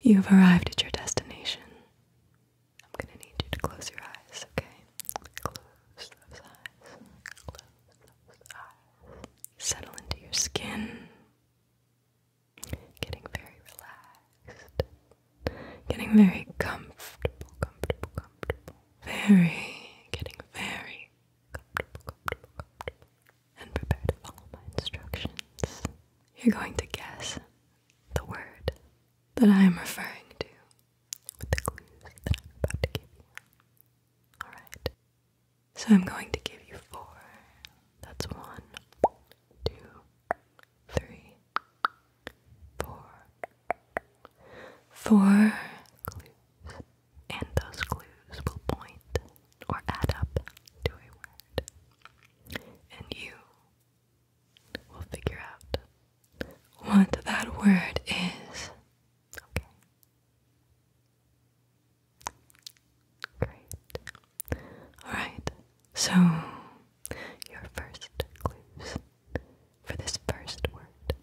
You have arrived at your destination. I'm gonna need you to close your eyes, okay? Close those eyes. Close those eyes. Settle into your skin. Getting very relaxed. Getting very comfortable, comfortable, comfortable. Very, getting very comfortable, comfortable, comfortable. And prepare to follow my instructions. You're going to guess the word that I am referring to with the clues that I'm about to give you. Alright. So I'm going to give you four. That's one, two, three, four. Four clues. And those clues will point or add up to a word and you will figure out what that word is. Okay. Great. Alright, so your first clues for this first word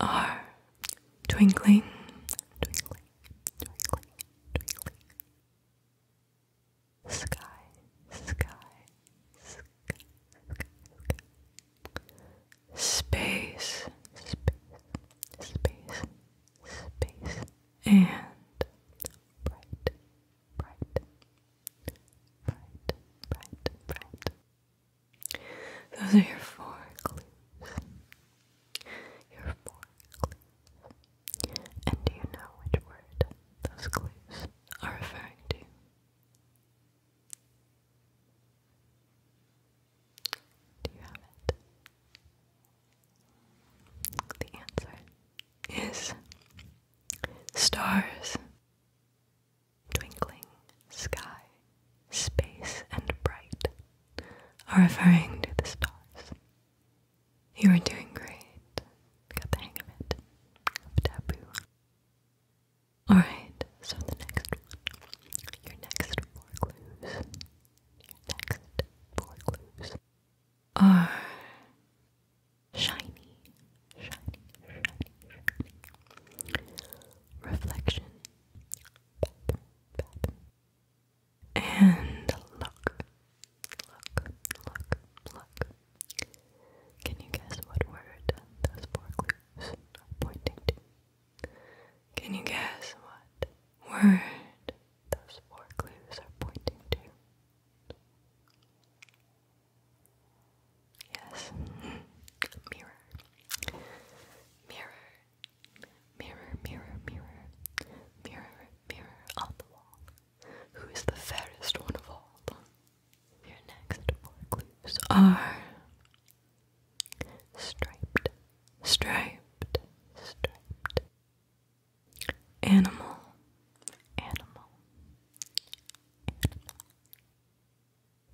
are twinkling, twinkling, twinkling, twinkling sky, sky, sky, Space, space, space, space, and bright, bright, bright, bright, bright. Those are your four clues. Your four clues. And do you know which word those clues are referring to? Do you have it? The answer is stars, twinkling sky, space, and bright are referring to the stars. You are doing great. Got the hang of it. Alright, so the next one. Your next four clues. Your next four clues are shiny, shiny, shiny, shiny. Reflection. And look, look, look, look. Can you guess what word those four clues are pointing to? Can you guess what word those four clues are pointing to? Yes, mirror, mirror, mirror, mirror, mirror, mirror, mirror on the wall, who is the fairest one of all. Your next four clues are striped, striped, striped. Animal, animal,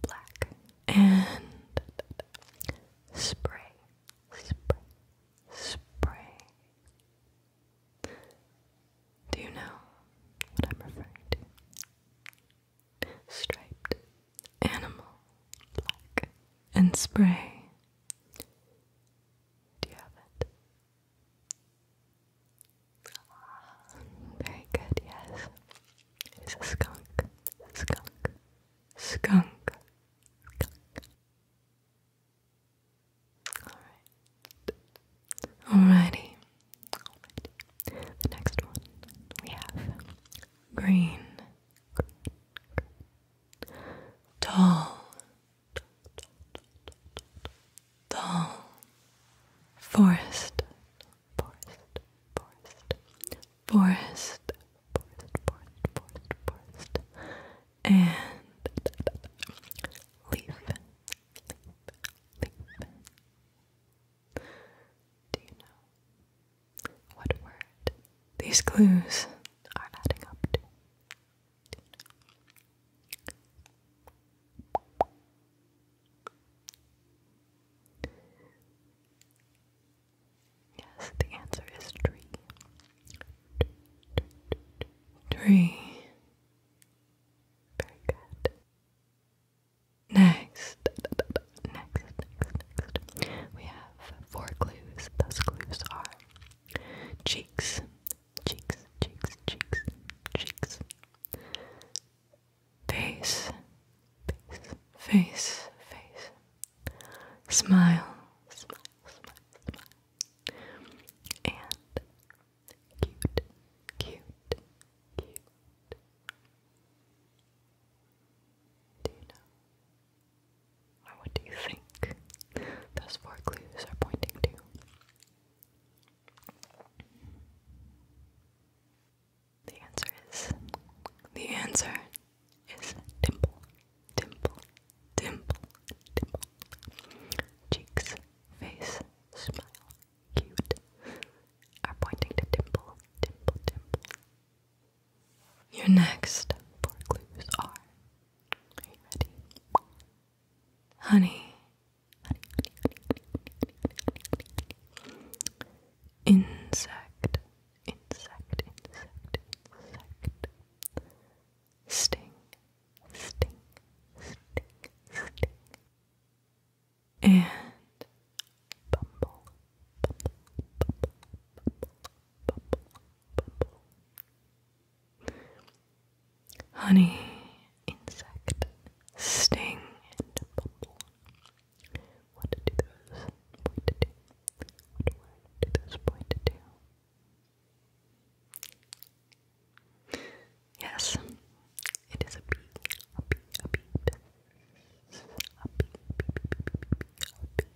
Black and spray, spray, spray. Do you know what I'm referring to? Striped animal, black and spray. Do you have it? very good, yes. It's a skunk, skunk, skunk, skunk. Alright. Alrighty. Alrighty. The next one we have green. green. Tall. Tall. Forest. Forest. Forest. Forest. Forest. Forest. Forest. Forest and leaf, Do you know what word these clues are adding up to? Yes, the answer is tree. Three. Very good. Next. Next, next, next. We have four clues. Those clues are cheeks, cheeks, cheeks, cheeks, cheeks. Face, face, face, face. Smile, smile, smile, smile, and cute, cute, cute. Do you know? Or what do you think those four clues are pointing to? The answer is the answer is dimple, dimple, dimple, dimple. Cheeks, face, smile, cute are pointing to dimple, dimple, dimple. Your next four clues are. ready? honey, honey, honey, honey, honey, honey, honey, honey. Insect, insect, insect, insect sting, sting, sting, sting. And bumble, bumble, bumble, bumble, bumble, bumble. Honey, insect, sting, and bumble. What do those point do Yes, it is a beak, a beak, a beak. A beak, a beak, a beak, a beak, a beak.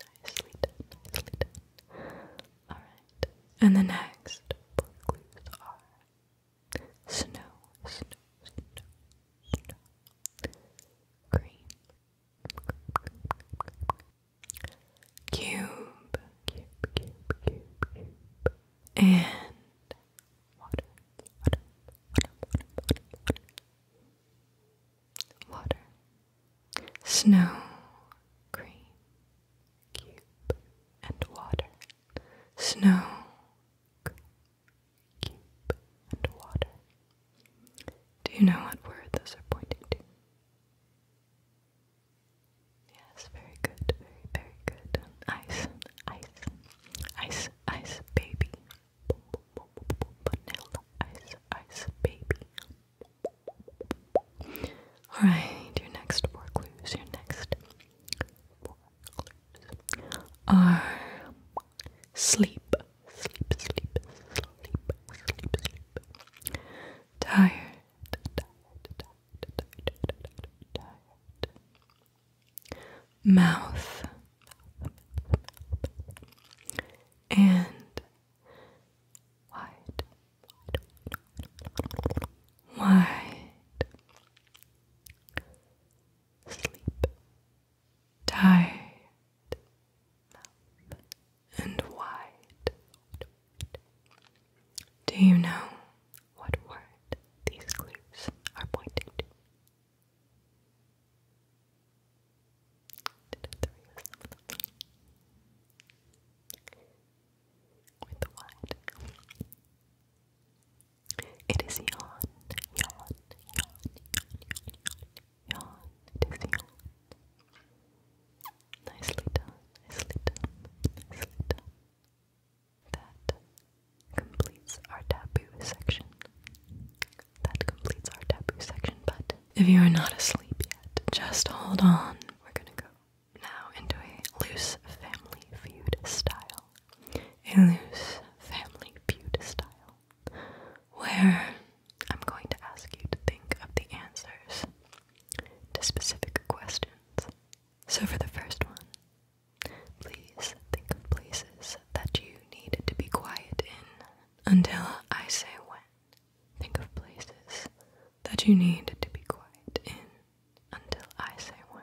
Nicely done, nicely done. Alright, and the next four clues are snow, snow, snow, snow, green, green, green, green, green, green cube, cube, cube, cube, cube, and water, water, water, water, snow, green, cube, and water. Snow, green, cube, and water. Do you know what word those are pointing to? Yes, very good, very, very good. Ice, ice, ice, ice, baby. Vanilla, ice, ice, baby. Alright, your next four clues, your next four clues are sleep, sleep, sleep, sleep, sleep, sleep. Tired, Mouth and wide, wide, sleep, tired and wide. Do you know what word these clues are pointing to? With the wide. It is yawn, yawn, yawn, yawn, yawn yawn, it is yawn. Nicely done, nicely done, nicely done. That completes our taboo section. That completes our taboo section, but if you are not asleep yet, just hold on. We're gonna go now into a loose family feud style. A loose family feud style. Where I'm going to ask you to think of the answers to specific questions. So, for the first one, please think of places that you need to be quiet in until I say when. Think of places that you need to be quiet in until I say when.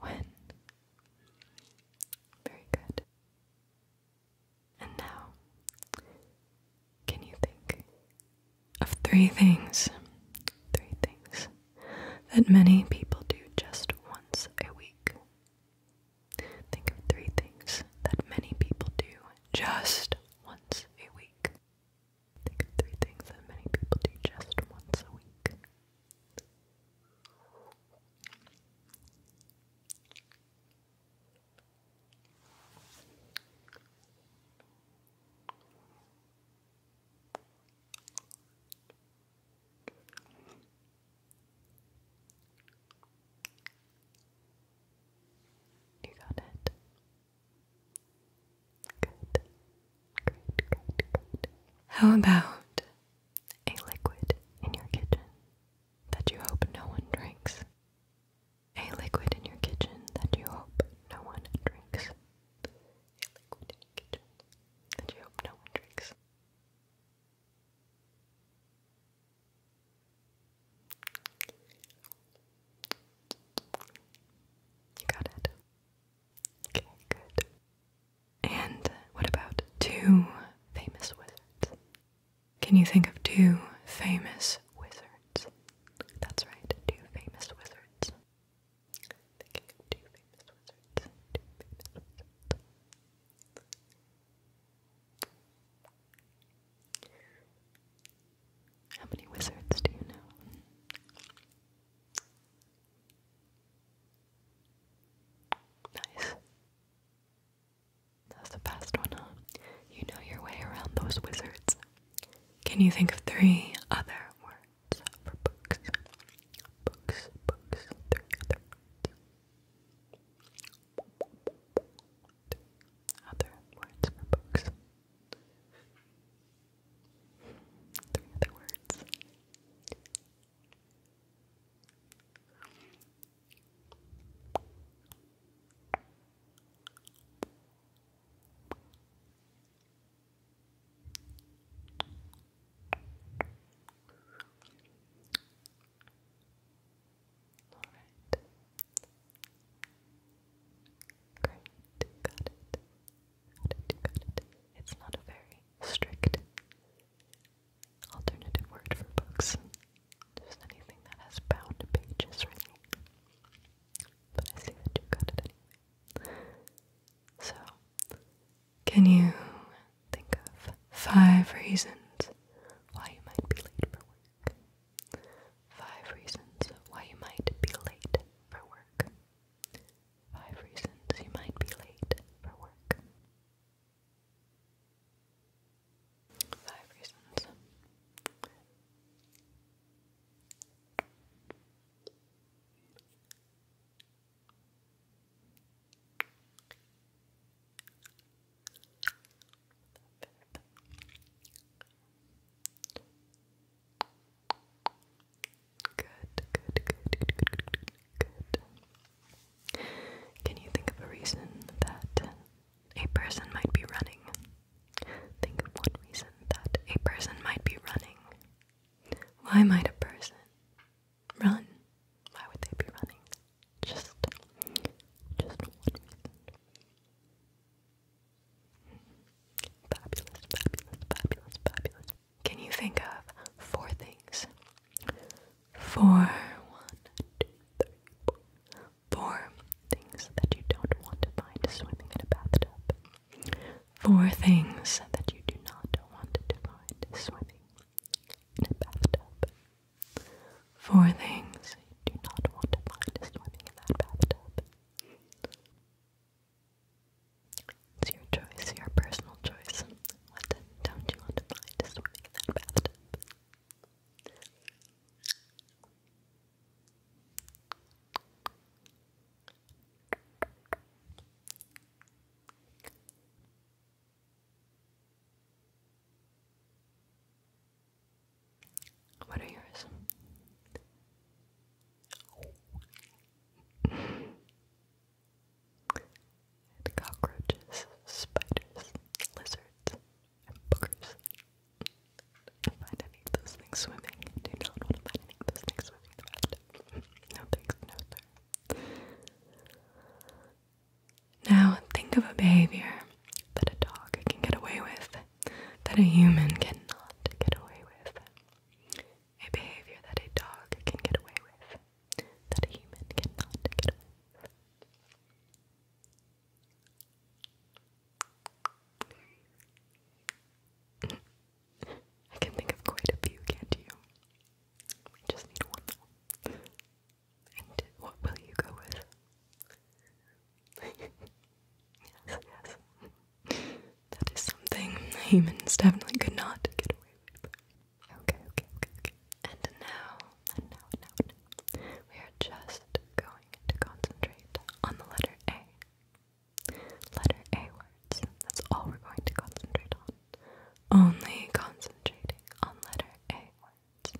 When? Very good. And now, can you think of three things? Three things that many people do just once a week. Think of three things that many people do just once a week. Think of three things that many people do just once a week. You got it. Good. Great, great, great. How about a liquid in your kitchen that you hope no one drinks? A liquid in your kitchen that you hope no one drinks. A liquid in your kitchen that you hope no one drinks. You got it. Okay, good. And what about two famous wizards? Can you think of two famous wizards? That's right, two famous wizards. Thinking of two famous wizards. Two famous wizards. How many wizards do you know? Nice. That's the best one, huh? You know your way around those wizards. Can you think of three other words for books? Books, books, three other words and other words for books. Three other words. Alright. Great, got it. Got it, got it. It's not a very strict alternative word for books. Just anything that has bound pages, really. But I see that you got it So, can you think of five reasons why you might be late for work? Five reasons why you might be late for work. Five reasons you might be late for work. Five reasons. Good, good, good, good, good, Can you think of a reason that a person might be running? Think of one reason that a person might be running. Why might a person run? Why would they be running? Just, just one reason. Fabulous, fabulous, fabulous, fabulous. Can you think of four things? Four, one, two, three, four. Four things that you don't want to find swimming in a bathtub. Four things that you do not want to find swimming in a bathtub. Four things you do not want to find swimming in that bathtub. It's your choice, your personal choice. What don't you want to find swimming in that bathtub? What are yours? cockroaches, spiders, lizards, and boogers. do find any of those things swimming. Do not want to find any of those things swimming in no thanks, no sir. Now, think of a behavior that a dog can get away with that a human cannot get away with. A behavior that a dog can get away with that a human cannot get away with. I can think of quite a few, can't you? just need one more. And what will you go with? yes, yes. That is something humans definitely could not get away with. Okay, okay, okay, okay. And now, and now, now, we are just going to concentrate on the letter A. Letter A words. That's all we're going to concentrate on. Only concentrating on letter A words.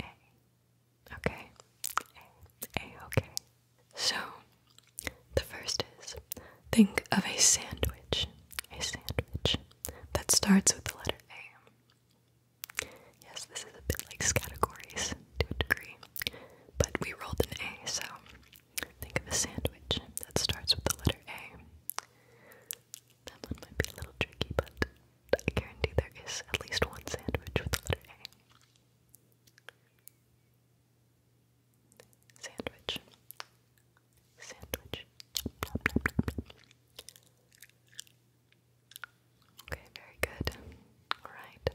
A, Okay. A, okay. So, the first is think of a sandwich. A sandwich that starts with the letter A. Yes, this is a bit like categories to a degree, but we rolled an A, so think of a sandwich that starts with the letter A. That one might be a little tricky, but I guarantee there is at least one sandwich with the letter A. Sandwich. Sandwich. Okay, very good. Alright.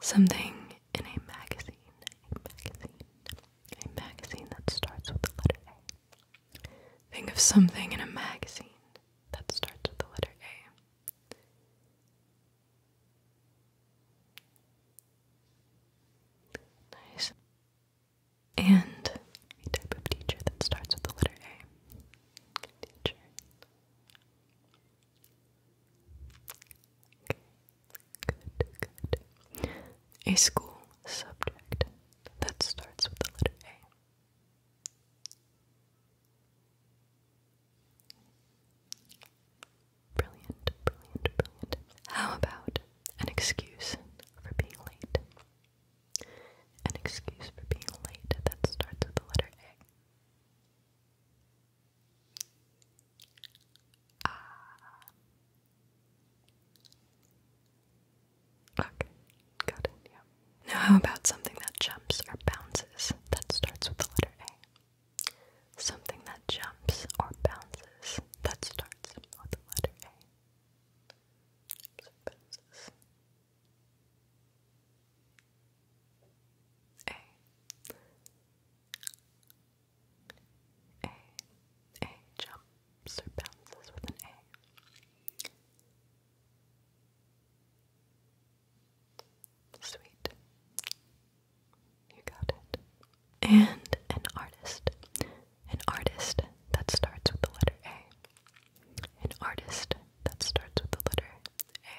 Something in a magazine. A magazine. A magazine that starts with the letter A. Think of something in a magazine that starts with the letter A. Nice. And a type of teacher that starts with the letter A. Teacher. Okay. Good, good. A school subject that starts with the letter A. Brilliant, brilliant, brilliant. How about an excuse for being late? An excuse for being late that starts with the letter A. Ah. Okay, got yeah. Now how about something that jumps or bounces that starts with the letter A? Something that jumps or bounces that starts with the letter A. bounces. A. A. A jumps or bounces with an A. Sweet. You got it. And an artist. An artist that starts with the letter A. An artist that starts with the letter A.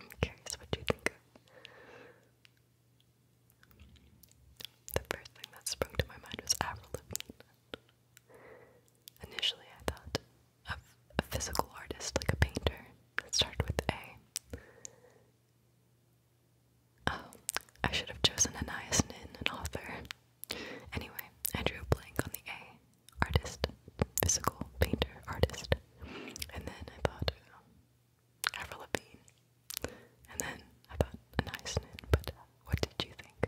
I'm curious what you think of. The first thing that sprung to my mind was Avril Lavigne. Initially, I thought of a physical artist, like a painter. Let's with A. Oh, I should have chosen an Anais Nin, an author. Anyway, I drew a blank on the A. Artist, physical, painter, artist. And then I thought, um, Avril And then about a nice but what did you think?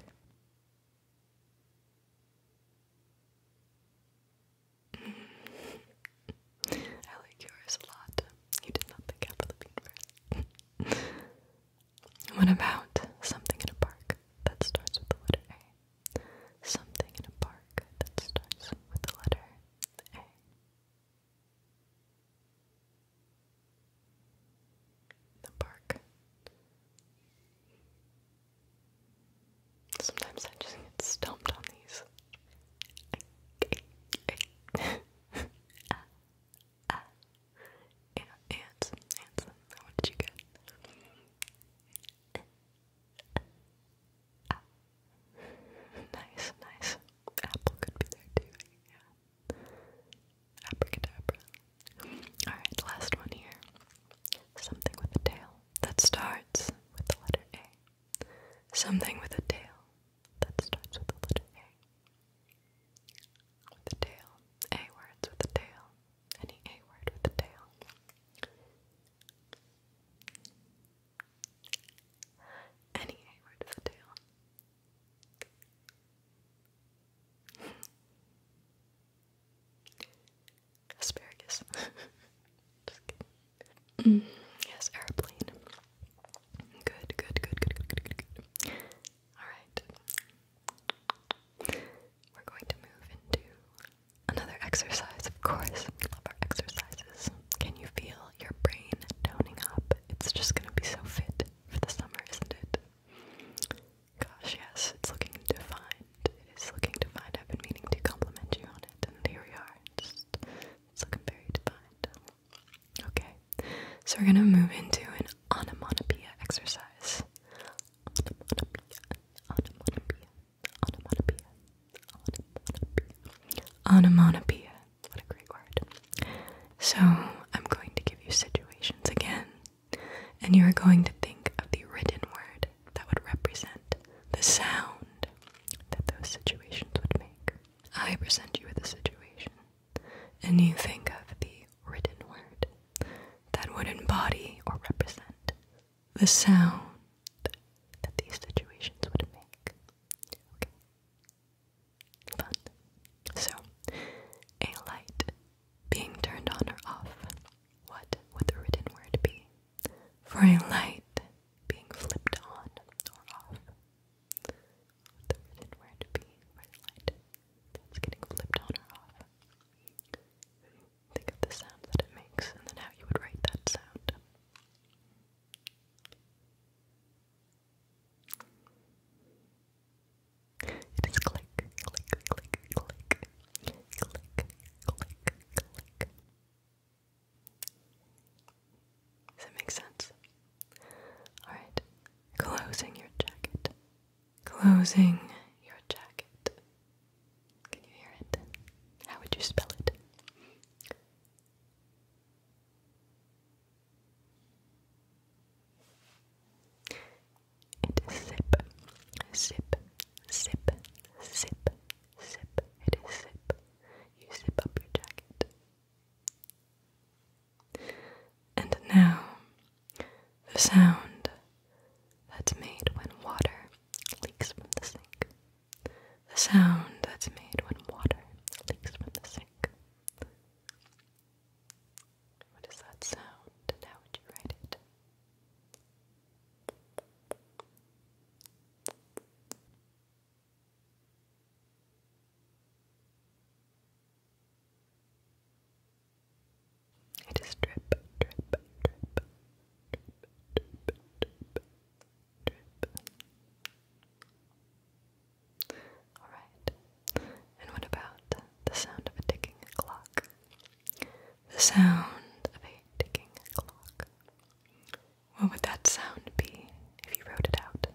I like yours a lot. You did not think Avril first. what about something in a park that starts with the letter A? Something in a park that starts with the letter A the park. Sometimes I just get stumped on these. Yeah, ants, ants. What did you get? Nice, nice. Apple could be there too. Yeah. Abracadabra. Alright, last one here. Something with a tail that starts with the letter A. Something with a tail that starts with the letter A. With a tail. A words with a tail. Any A word with a tail. Any A word with a tail. Asparagus. Mm. yes, airplane. good, good, good, good, good, good, good. Alright. We're going to move into another exercise, of course. We love our exercises. Can you feel feel your brain toning up. It's just gonna be so fit for the summer, isn't it? Gosh, yes, it's looking defined. It is looking defined. I've been meaning to compliment you on it, and here we are. Just, it's looking very defined. Okay, so we're gonna move into an onomatopoeia exercise. Onomatopoeia, onomatopoeia, onomatopoeia, onomatopoeia. Onomatopoeia. What a great word. So, I'm going to give you situations again, and you are going to think of the written word that would represent the sound that those situations would make. I present you with a situation, and you think of the written word that would embody or represent the sound that these situations would make. Okay fun. So, a light being turned on or off, what would the written word be? For a light being flipped on or off, the written word be for a light that's getting flipped on or off? Think of the sound that it makes and then how you would write that sound. It is click, click, click, click, click, click, click. Does it make sense? Alright, closing your jacket. Closing your jacket. Can you hear it? How would you spell it? It is sip, sip, sip, sip, sip. It is sip. You zip up your jacket. And now, the sound that's made when water leaks from the sink. The sound that's made when water leaks from the sink. What is that sound how would you write it? It is drip, drip, drip, drip, drip, drip, Alright, and what about the sound of a ticking clock? The sound of a ticking clock. What would that sound be if you wrote it out?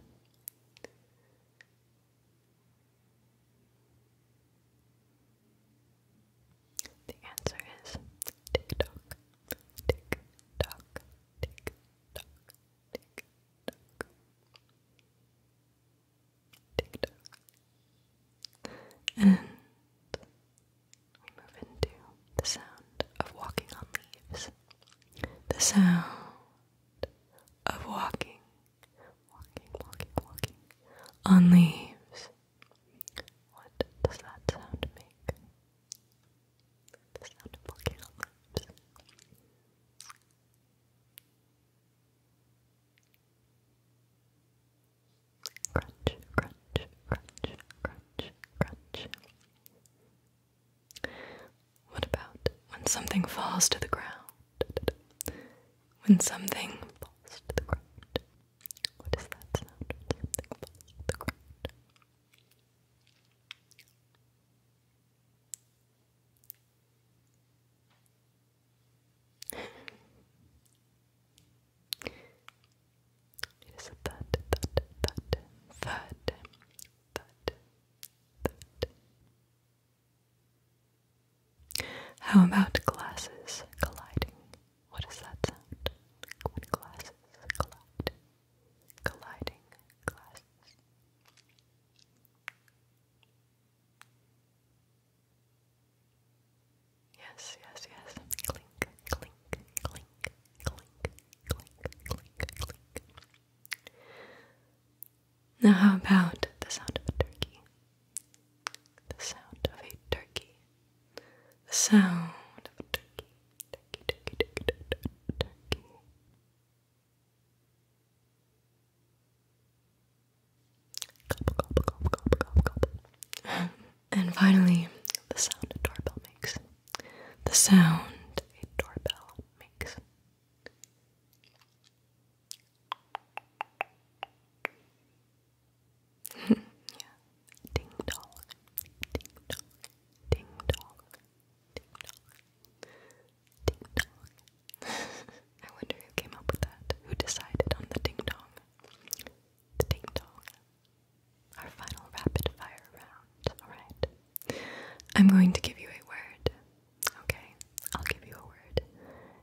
The answer is tick tock, tick tock, tick tock, Tick tock. Tick tock. And we move into the sound of walking on leaves. The sound of walking, walking, walking, walking on leaves. What does that sound make? The sound of volcano flames. Crunch, crunch, crunch, crunch, crunch. What about when something falls to the ground? When something falls to the ground. What is that sound when something falls to the ground? How about glasses colliding? What does that sound? When glasses collide colliding glasses. Yes, yes, yes. Clink, clink, clink, clink, clink, clink, clink. Now, how about the sound of a turkey? The sound of a turkey. The sound of a turkey and finally, the sound a doorbell makes. The sound a doorbell makes. yeah. Ding dong. Ding dong. Ding dong. Ding dong. Ding dong. I wonder who came up with that. Who decided on the ding dong? The ding dong. Our final rapid fire round. Alright. I'm going to give you a word. Okay? I'll give you a word.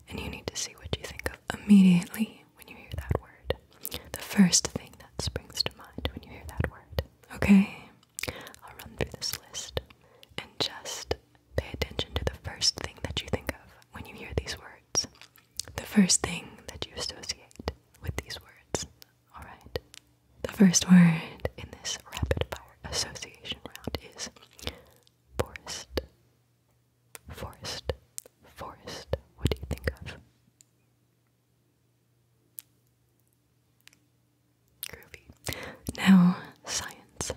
And you need to see what you think of immediately when you hear that word. The first thing that springs to mind when you hear that word. Okay? I'll run through this list and just pay attention to the first thing that you think of when you hear these words. The first thing that you associate with these words. Alright? The first word in this rapid fire association round is forest. Forest. Forest. What do you think of? Groovy. Now, science.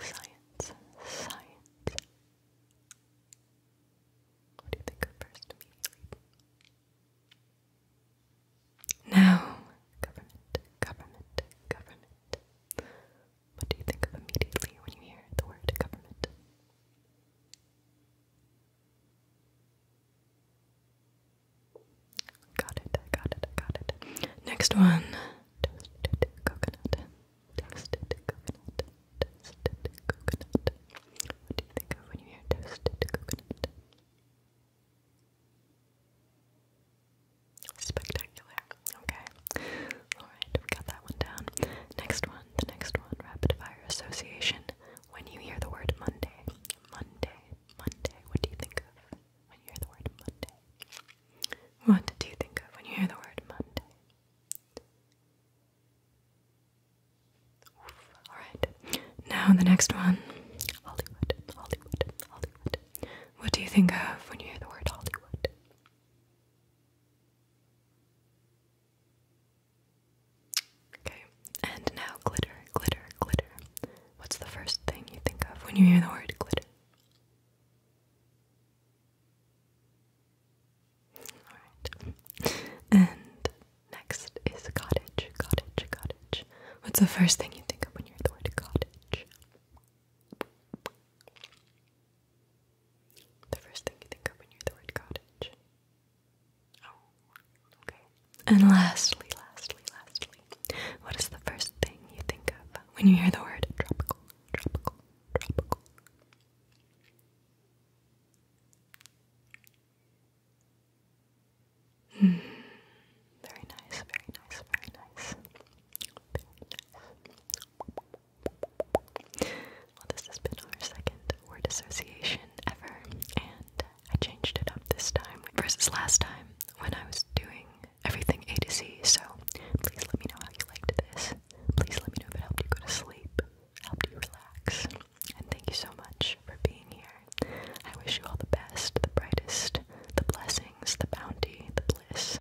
Science. Science. What do you think of first Now, government, government, government. What do you think of immediately when you hear the word government? Got it, got it, got it. Next one. Toasted coconut. Toasted coconut. Toasted coconut. What do you think of when you hear toasted coconut? Spectacular. Okay. Alright, we got that one down. Next one, the next one, rapid fire association. When you hear the word Monday, Monday, Monday, what do you think of when you hear the word Monday? What do you think of when you hear the word Monday? Alright, now the next one Hollywood, Hollywood, Hollywood. What do you think of when you hear the word Hollywood? Okay, and now glitter, glitter, glitter. What's the first thing you think of when you hear the word glitter? Alright. And next is cottage, cottage, cottage. What's the first thing you think of when you hear the word cottage? The first thing you think of when you hear the word cottage. Oh, and lastly, lastly, lastly, what is the first thing you think of when you hear the word tropical, tropical, tropical? Hmm. Very nice, very nice, very nice. Very nice. Well, this has been our second word association ever, and I changed it up this time versus last time when I was doing everything A to Z. So please let me know how you liked this. Please let me know if it helped you go to sleep, helped you relax. And thank you so much for being here. I wish you all the best, the brightest, the blessings, the bounty, the bliss.